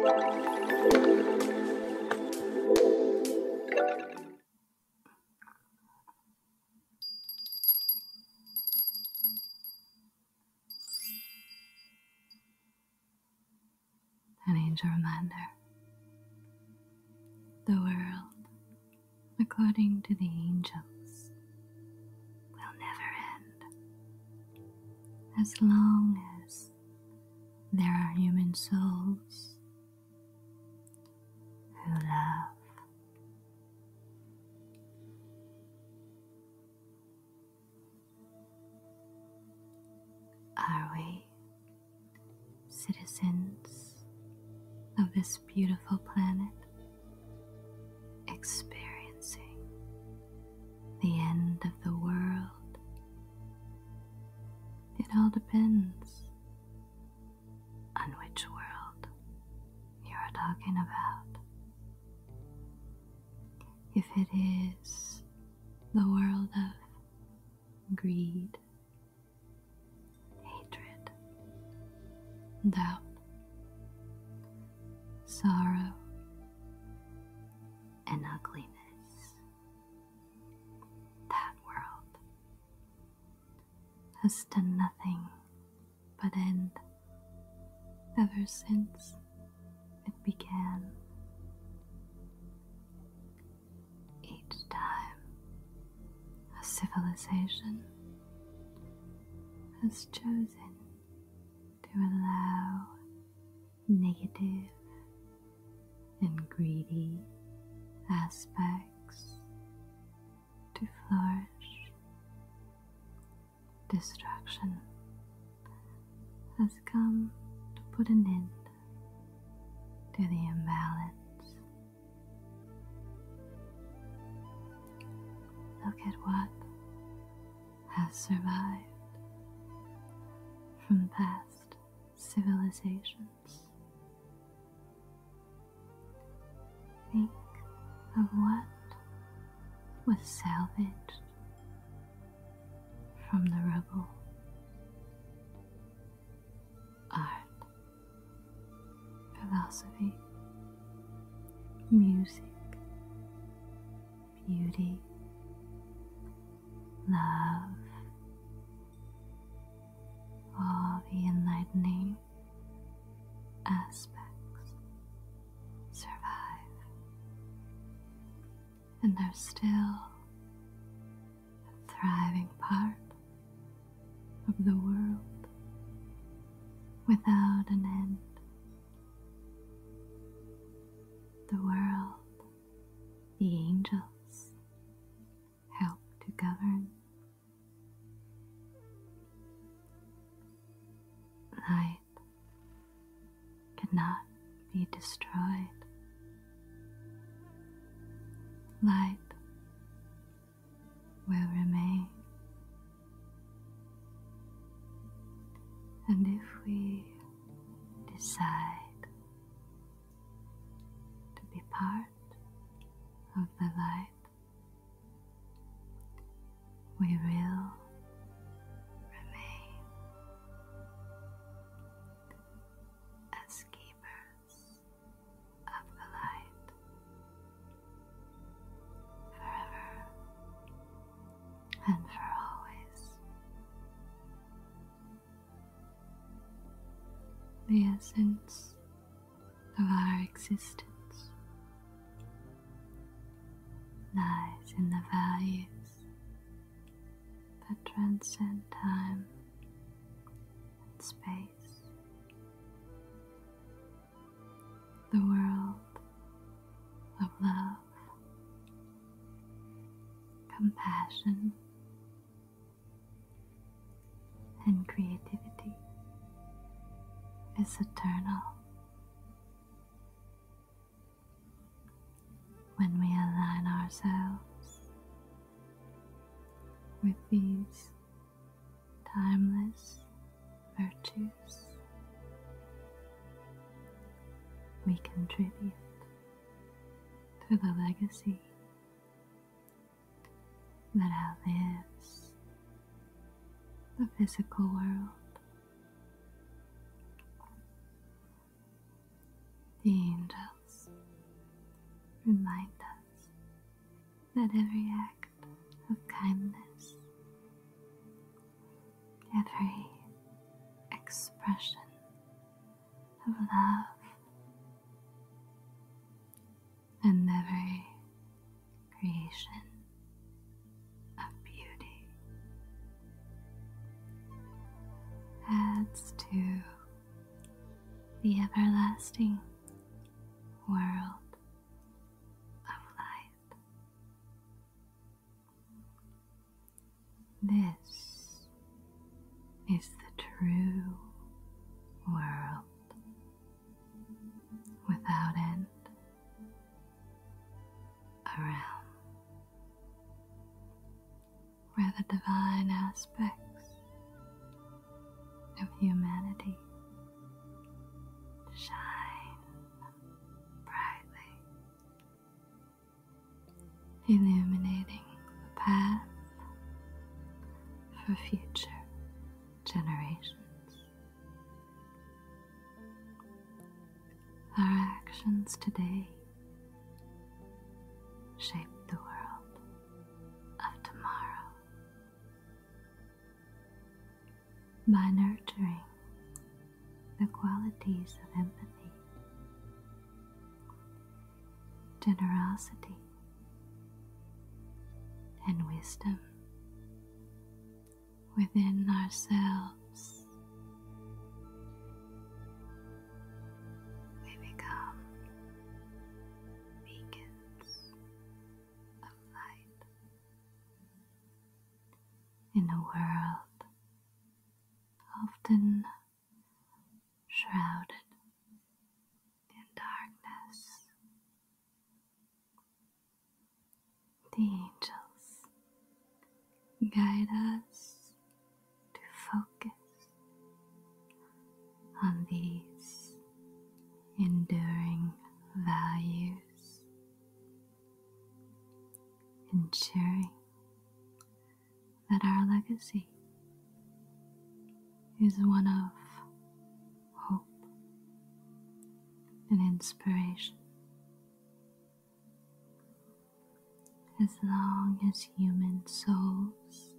An angel reminder. The world, according to the angels, will never end as long as there are human souls who love. Are we citizens of this beautiful planet experiencing the end of the world. It all depends on which world you're talking about. If it is the world of greed, hatred, doubt, sorrow, and ugliness. That world has done nothing but end ever since it began. Each time a civilization has chosen to allow negative, and greedy aspects to flourish. Distraction has come to put an end to the imbalance. Look at what has survived from the past civilizations. Think of what was salvaged from the rubble. Art, philosophy, music, beauty, love, all the enlightening aspects survive and there's still a thriving part of the world without an end. The world the angels help to govern. Light cannot be destroyed. Light will remain. And if we decide to be part of the light we will remain as keepers of the light forever and for always the essence of our existence lies in the values that transcend time and space. The world of love compassion, and creativity is eternal. When we align ourselves with these timeless virtues, we contribute for the legacy that outlives the physical world. The angels remind us that every act of kindness, every expression of love and every creation of beauty adds to the everlasting world. Of light. This is the true world without end a realm where the divine aspects of humanity shine brightly illuminating the path for future generations. Our actions today shape the world of tomorrow. By nurturing the qualities of empathy generosity, and wisdom within ourselves. We become beacons of light in a world often shrouded in darkness. The angels guide us to focus on these enduring values, ensuring that our legacy is one of hope and inspiration. As long as human souls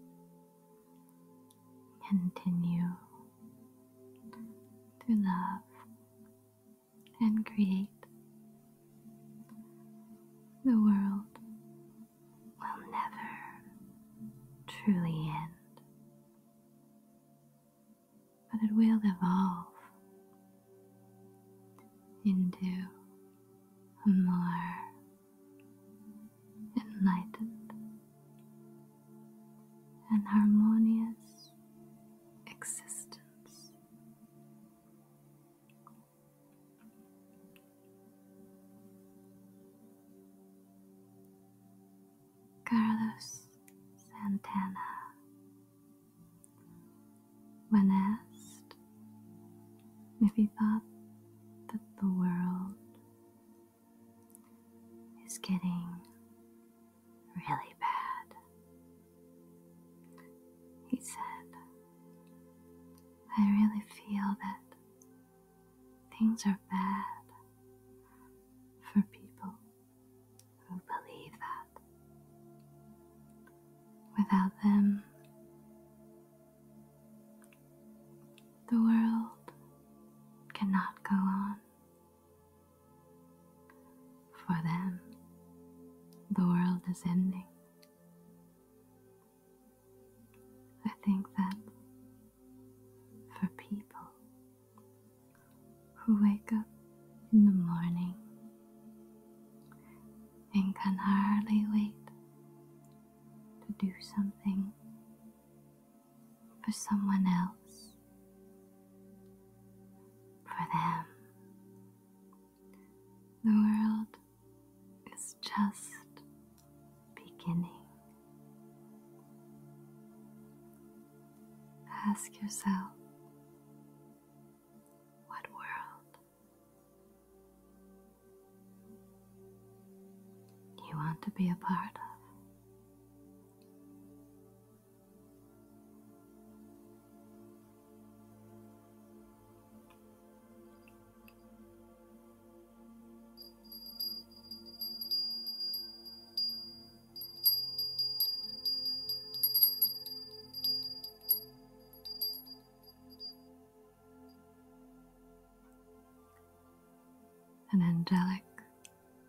continue to love and create, the world will never truly end, but it will evolve into a more enlightened and harmonious existence Carlos Santana. When asked if he thought that the world is getting really bad, he said, I really feel that things are bad for people who believe that. Without them, the world cannot go on. For them, the world is ending. I think that for people who wake up in the morning and can hardly wait to do something for someone else, for them, the world is just beginning. Ask yourself what world you want to be a part of. An angelic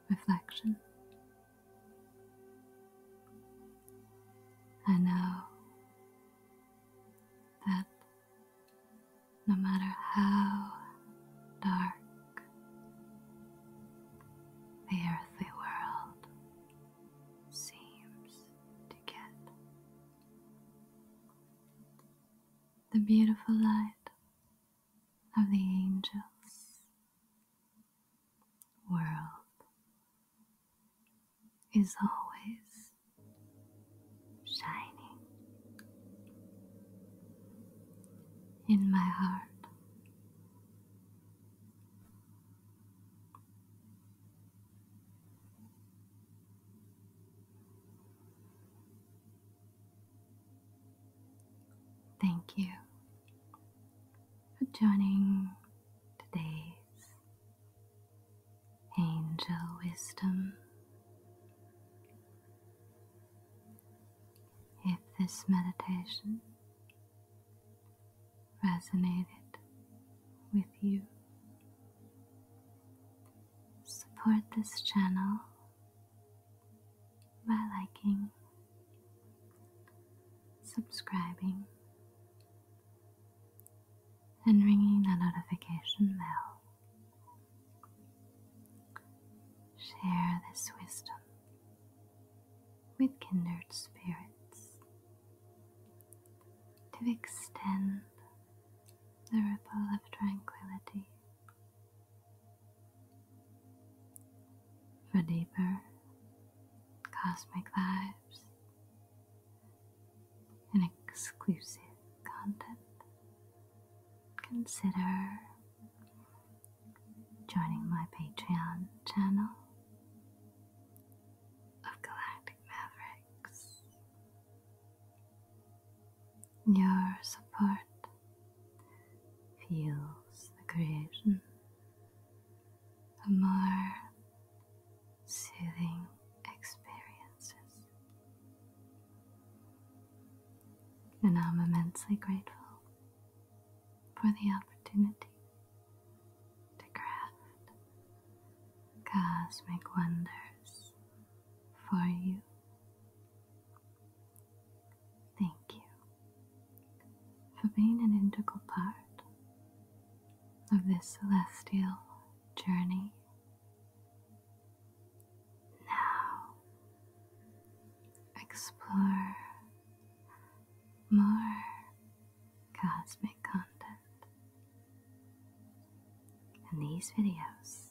reflection. I know that no matter how dark the earthly world seems to get. The beautiful light of the angels' world is always shining in my heart. Thank you for joining today's Angel Wisdom. If this meditation resonated with you, support this channel by liking, subscribing, and ringing the notification bell. Share this wisdom with kindred spirits to extend the ripple of tranquility for deeper cosmic lives and exclusive content, consider joining my Patreon channel of Galactic Mavericks. Your support fuels the creation of more soothing experiences. And I'm immensely grateful for the opportunity to craft cosmic wonders for you. Thank you for being an integral part of this celestial journey now explore more cosmic content in these videos.